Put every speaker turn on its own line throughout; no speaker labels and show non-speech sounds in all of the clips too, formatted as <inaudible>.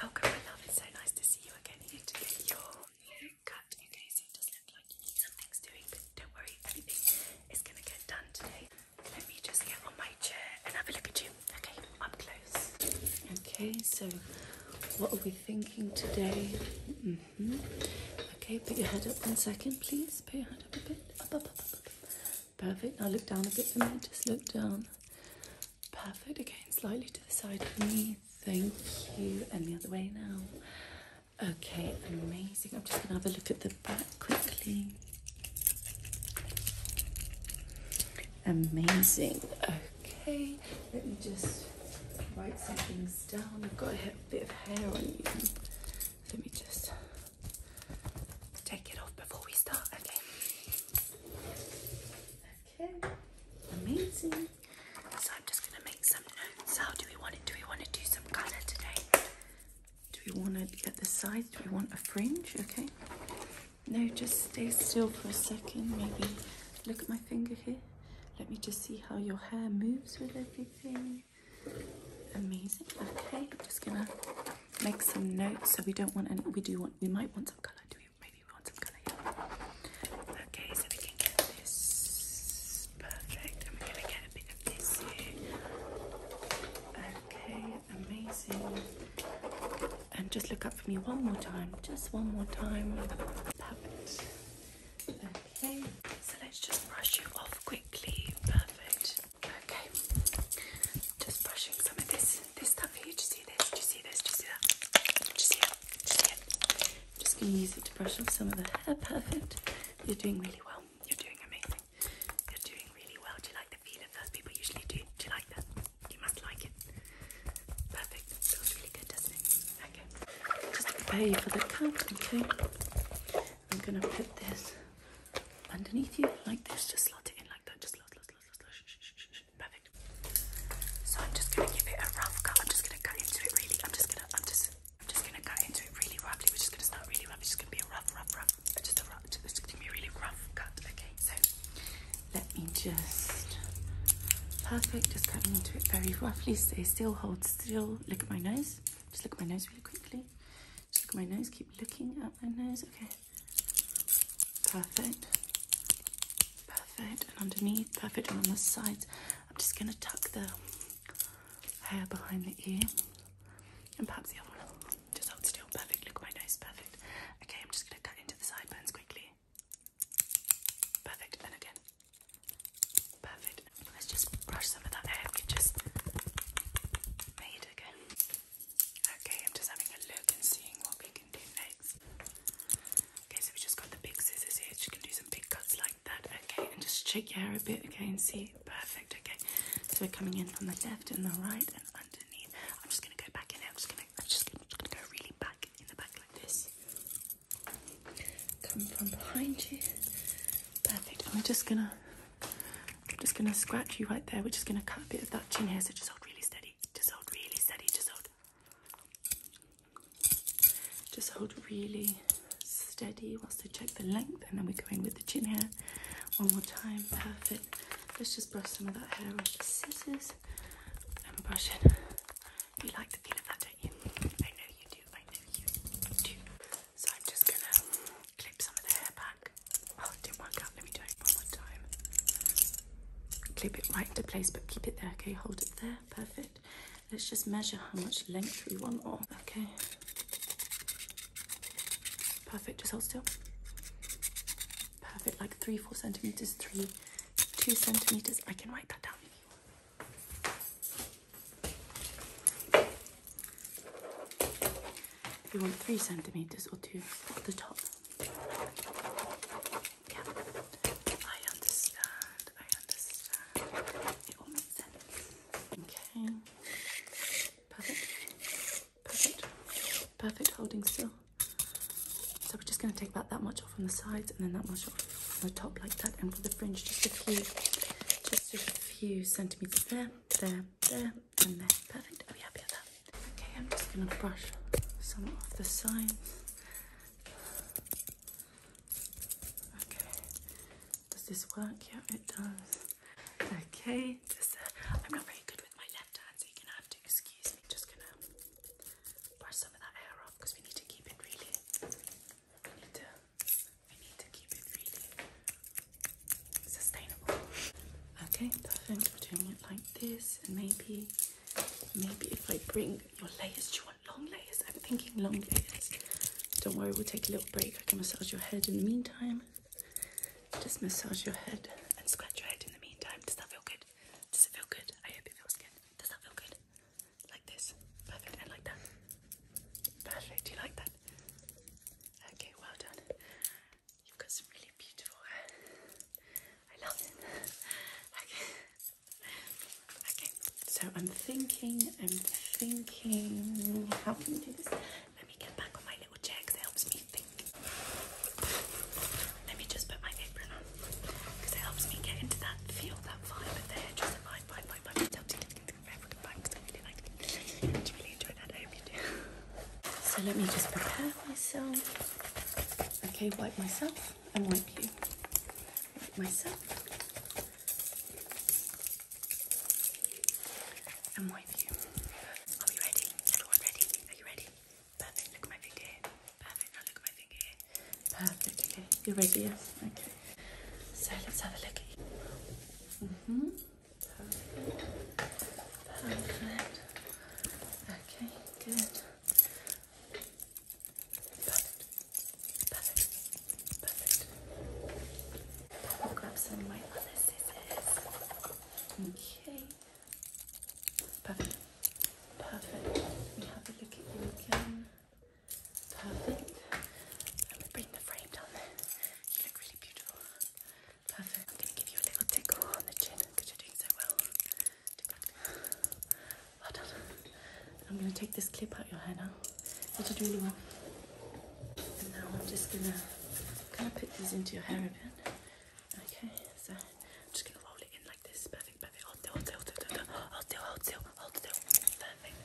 Welcome, my love. It's so nice to see you again here to get your cut. Okay, so it does look like something's doing, but don't worry, everything is gonna get done today. Let me just get on my chair and have a look at you. Okay, up close. Okay, so what are we thinking today? Mm-hmm. Okay, put your head up one second, please. Put your head up a bit. up. Perfect. Now look down a bit and then Just look down. Perfect. Again, slightly to the side for me. Thank you. And the other way now. Okay, amazing. I'm just going to have a look at the back quickly. Amazing. Okay, let me just write some things down. I've got a bit of hair on you. Let me just take it off before we start. Okay. Okay, amazing. So I'm just gonna make some notes. How do we want it? Do we want to do some colour today? Do we want to get the sides? Do we want a fringe? Okay. No, just stay still for a second. Maybe look at my finger here. Let me just see how your hair moves with everything. Amazing. Okay, I'm just gonna make some notes. So we don't want any. We do want. We might want some colour. Do we? Okay, so we can get this perfect and we're gonna get a bit of this here. Okay, amazing. And just look up for me one more time, just one more time. Perfect. Okay, so let's just brush you off quickly. Perfect. Okay, just brushing some of this this stuff here. Do you see this? Do you see this? Do you see that? Do you see it? Do you see it? just gonna use it to brush off some of the hair. Perfect. You're doing really well. You're doing amazing. You're doing really well. Do you like the feel of those? People usually do. Do you like that? You must like it. Perfect. It feels really good, doesn't it? Okay. Just to prepare you for the cut, okay? I'm gonna put this underneath you like this. Just slot it in like that. Just slot, slot, slot, slot, slot. Shh, shh, shh, shh perfect. So I'm just gonna give it a rough cut. I'm just gonna cut into it really. I'm just gonna, I'm just, I'm just gonna cut into it really roughly. We're just gonna start really rough. It's just gonna be a rough, rough, rough. Just a rough. It's gonna be a really rough cut. Okay, so let me just perfect. Just cutting into it very roughly. Stay still. Hold still. Look at my nose. Just look at my nose really quickly. Just look at my nose. Keep looking at my nose. Okay. Perfect. Perfect. And underneath, perfect. And on the sides, I'm just going to tuck the hair behind the ear. And perhaps the other one. Just hold still. Perfect. Look at my nose. Perfect. Okay, I'm just going to cut into the sideburns quickly. Perfect. And again. Perfect. Let's just brush some of that hair we just made again. Okay, I'm just having a look and seeing what we can do next. Okay, so we just got the big scissors here. You can do some big cuts like that. Okay, and just shake your hair a bit. Okay, and see. Perfect. Okay, so we're coming in from the left and the right and underneath. I'm just gonna go back in. There. I'm just gonna. I'm just gonna, go really back in the back like this. Come from behind you. Perfect. And we're just gonna. I'm just gonna scratch you right there. We're just gonna cut a bit of that chin hair. So just hold really steady. Just hold really steady. Just hold. Just hold really steady. Wants to check the length, and then we are going with the chin hair. One more time. Perfect. Let's just brush some of that hair with the scissors and brush it. You like the feel of that, don't you? I know you do. I know you do. So I'm just gonna clip some of the hair back. Oh, it didn't let me do it one more time. Clip it right into place, but keep it there, okay? Hold it there, perfect. Let's just measure how much length we want okay? Perfect, just hold still. Perfect, like three, four centimeters, three, two centimeters. I can write that down. If you want three centimeters or two at the top. Yeah, I understand. I understand. It all makes Okay. Perfect. Perfect. Perfect. Holding still. So we're just going to take about that much off on the sides and then that much off on the top like that. And for the fringe, just a few, just a few centimeters there, there, there, and there. Perfect. Oh yeah, happy at Okay, I'm just going to brush some of the sides. Okay, does this work? Yeah, it does. Okay, uh, I'm not very good with my left hand, so you're going to have to excuse me. Just going to brush some of that hair off because we need to keep it really. We need to, we need to keep it really sustainable. Okay, perfect. We're doing it like this, and maybe. Maybe if I bring your layers, do you want long layers? I'm thinking long layers. Don't worry, we'll take a little break. I can massage your head in the meantime. Just massage your head and scratch your head in the meantime. Does that feel good? Does it feel good? I hope it feels good. Does that feel good? Like this. Perfect. And like that. Perfect. Do you like that? Okay, well done. You've got some really beautiful hair. <laughs> So I'm thinking, I'm thinking, how can you do this? Let me get back on my little chair because it helps me think. Let me just put my apron on it helps me get into that feel, that vibe of the vibe, vibe, vibe, vibe. you really enjoy that. I hope you do. <laughs> So let me just prepare myself. Okay, wipe myself off and wipe you myself and wipe you. Are we ready? Everyone ready? Are you ready? Perfect. Look at my finger Perfect. Now look at my finger Perfect. Okay. You're ready, yes? Okay. So let's have a look hmm Perfect. Okay, good. Perfect. Perfect. Perfect. I'll grab some of my scissors. Okay. Perfect. Perfect. Let have a look at you again. Perfect. Let me bring the frame down there. You look really beautiful. Perfect. I'm going to give you a little tickle on the chin because you're doing so well. Well done. I'm going to take this clip out your hair now. You did really well. And now I'm just going to kind of put these into your hair a bit. Okay, so I'm just going to roll it in like this. Perfect, perfect. Hold still, hold still, hold still, hold still, hold still, hold still. Perfect.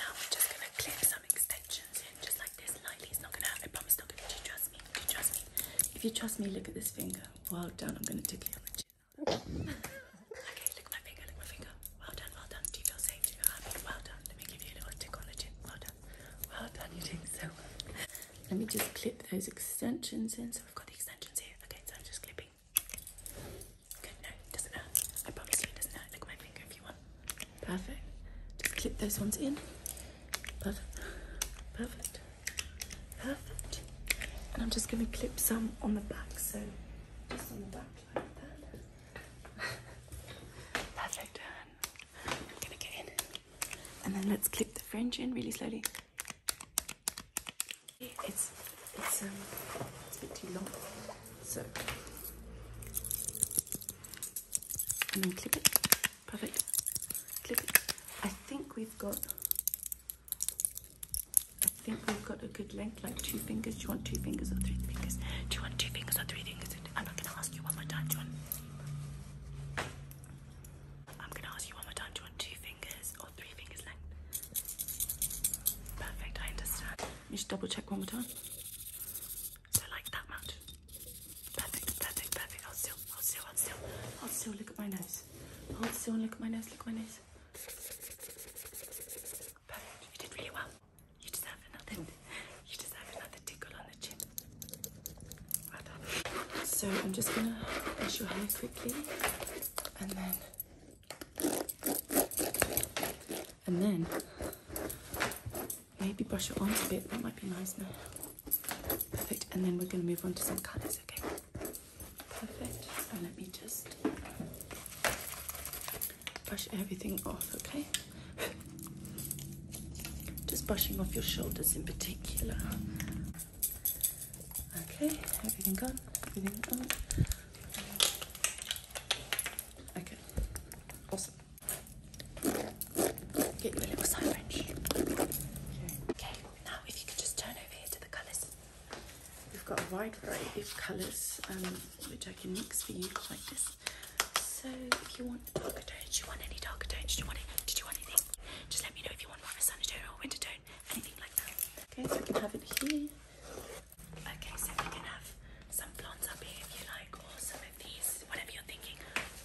Now we're just going to clip some extensions in just like this lightly. It's not going to hurt. I promise it's not going to. Do you trust me? Do you trust me? If you trust me, look at this finger. Well done. I'm gonna tickle you on the chin. <laughs> okay, lick my finger, lick my finger. Well done, well done. Do you feel safe? Do Well done. Let me give you a little tick on the chin. Well done. Well done, you're so Let me just clip those extensions in. So we've got the extensions here. Okay, so I'm just clipping. Good, no, doesn't hurt. I promise you doesn't hurt. Look my finger if you want. Perfect. Just clip those ones in. Perfect. Perfect. Perfect. And I'm just going to clip some on the back, so just on the back like that. <laughs> Perfect. And I'm going to get in. And then let's clip the fringe in really slowly. It's um, it's a bit too long, so and then clip it perfect. I think we've got. I think we've got a good length, like two fingers. Do you want two fingers or three fingers? Do you want two fingers or three fingers? I'm not gonna ask you one more time. Do you want? I'm gonna ask you one more time. Do you want two fingers or three fingers length? Perfect. I understand. You just double check one more time. So like that much. Perfect, perfect, perfect. I'll still hold still, hold still, hold still, look at my nose. Hold still look at my nose, look at my nose. you did really well. You deserve another, you deserve another tickle on the chin. So I'm just gonna wash your hair quickly and then, and then maybe brush your arms a bit, that might be nice now. Perfect. And then we're going to move on to some colours, okay? Perfect. And let me just brush everything off, okay? <laughs> Just brushing off your shoulders in particular. Okay, everything gone, everything gone. Okay, awesome. Get your little side wrench. Okay. okay. Now, if you could just turn over here to the colours. We've got a wide variety of colours, um, which I can mix for you like this. So, if you want darker tone, do you want any darker tones? Do you want it? Did you want anything? Just let me know if you want more of a sunny or a winter tone, anything like that. Okay, so we can have it here. Okay, so we can have some blondes up here if you like, or some of these, whatever you're thinking,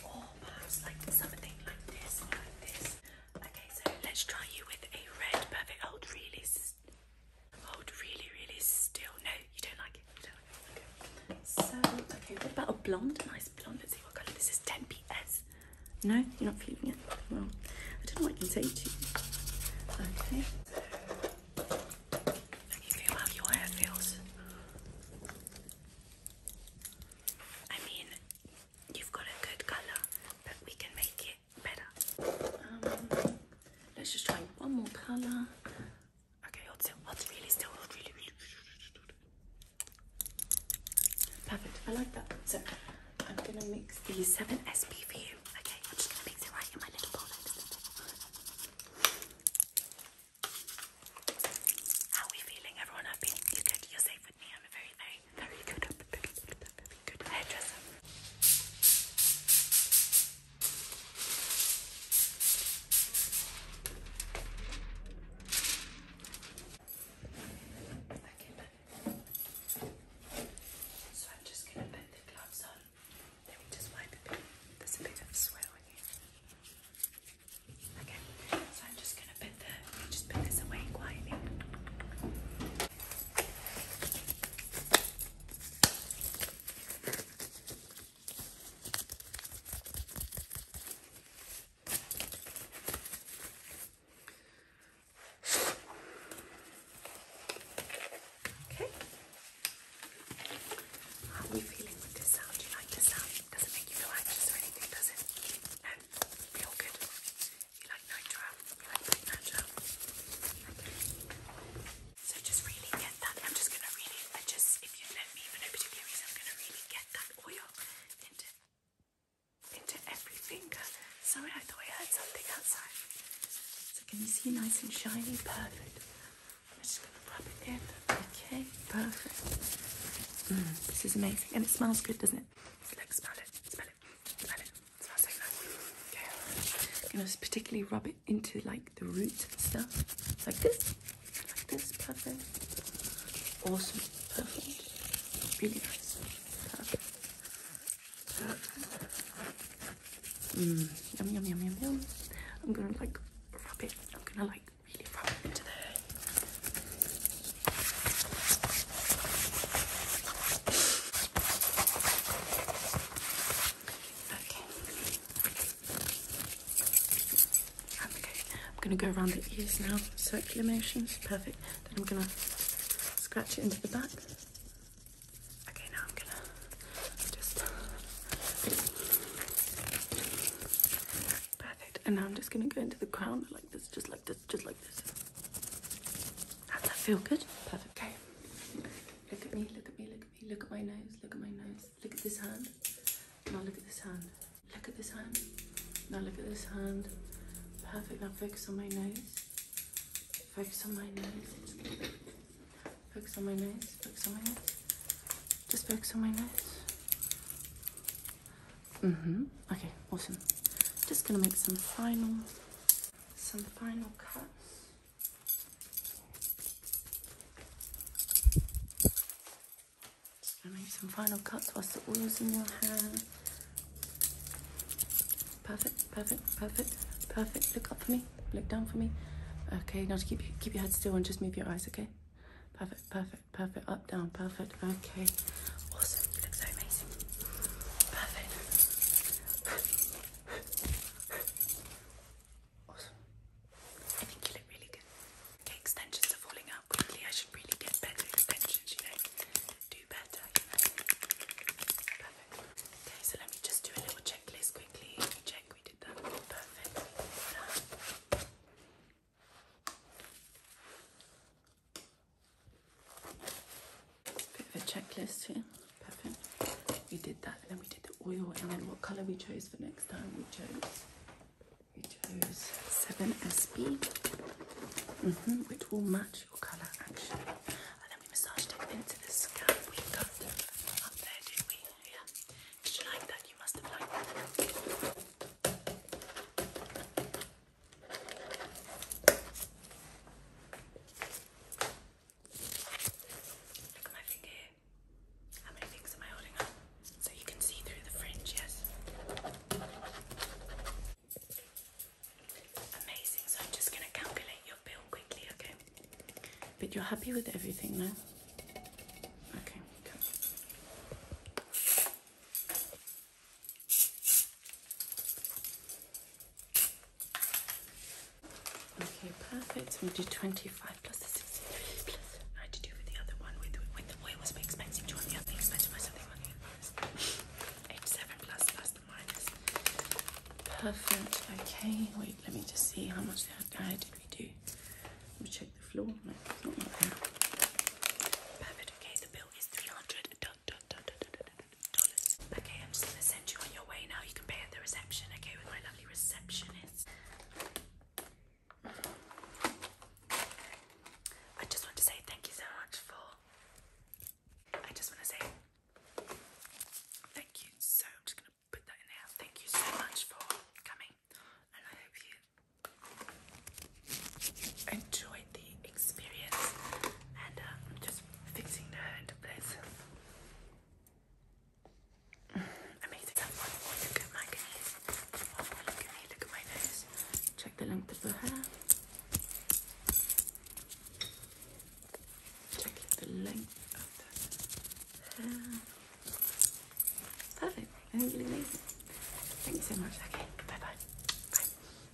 or perhaps like something like this, like this. Okay, so let's try you with a red. Perfect. Hold really, hold really, really still. No, you don't like it. You don't like it. Okay. So, okay, what about a blonde? Nice blonde. Let's see what colour this is. 10 PS. No, you're not feeling it. Well, I don't know what I can say to you. Okay. Can you feel how your hair feels? I mean, You've got a good colour, but we can make it better. Um, let's just try one more colour. Okay, hold still. really still. really, really. Perfect. I like that. So I'm gonna mix the seven SP for you. Okay, I'm just gonna mix it right in my little bowl. How we feeling? Everyone happy? You good? safe with me. I'm very, very very good, very so I'm just going to put the gloves on. Let me just wipe a a bit of swell in here. Okay, just put this away quietly. Okay. How are we feeling with this sound? Do you like this sound? Doesn't make you feel anxious or anything, does it? Um, feel good? So just really get that. I'm just gonna really, I just, if you let me for no particular reason, I'm gonna really get that oil into into every finger. Sorry, I thought I heard something outside. So can you see nice and shiny? Perfect. I'm just gonna rub it in. Okay, perfect. Mm, this is amazing, and it smells good, doesn't it? Look, smell it, Okay, I'm gonna particularly rub it into like the roots and stuff, like this, like this. Perfect, awesome, perfect, really nice, perfect, mm. yum, yum, yum, yum, yum. I'm gonna like rub it. I'm gonna like really rub it into there. I'm going to go around the ears now, circular motions, perfect. Then I'm going to scratch it into the back. Okay, now I'm going to just... Perfect. And now I'm just going to go into the crown like this, just like this just, like this. How does that feel? Good? Perfect. Okay. Look at me, look at me, look at me. Look at my nose, look at my nose. Look at this hand. Now look at this hand. Look at this hand. Now look at this hand. Perfect. Now focus on my nose. Focus on my nose. Focus on my nose. Focus on my nose. Just focus on my nose. Mm-hmm. Okay, awesome. Just gonna make some final some final cuts. Just gonna make some final cuts whilst the oil's in your hair. Perfect, perfect, perfect, perfect. Look up for me, look down for me. Okay, now to keep keep your head still and just move your eyes, okay? Perfect, perfect, perfect, up, down, perfect. Okay, awesome. You look so amazing. Perfect. Awesome. I think you look really good. Okay, extensions are falling out quickly. I should really get better extensions, you know. Do better, Perfect. Okay, so let me just do a little checklist quickly. check, we did that. Perfect. Bit of a checklist here. Perfect. We did that, and then we did the oil, and then what colour we chose for next time. We chose we chose 7SB, -hmm, which will match your colour actually. And then we massaged it into the scalp. We got up there, do we? Yeah. Did you like that? You must have liked that. Look at my finger. How many things am I holding up? So you can see through the fringe, yes? Amazing, so I'm just gonna calculate your bill quickly, okay? But you're happy with everything now? Okay, come. Okay, perfect. So we do 25 63 plus. I had to do with the other one. With, with the way it was expensive to other expensive by the other. <laughs> 87 plus plus minus. Perfect. Okay, wait, let me just see how much that did we do. Let check the floor. Okay, the bill is 300. Okay, I'm just gonna send you on your way now. You can pay at the reception, okay, with my lovely receptionist. I just want to say thank you so much for. I just want to say thank you so. I'm just gonna put that in there. Thank you so much for coming, and I hope you enjoy the experience and uh, just fixing the her into place. <sighs> Amazing. look at my knees. look at me. Look at my nose. Check the length of the hair. Check the length of the hair. Perfect. That was really amazing. Thank you so much. Okay. Bye bye. Bye.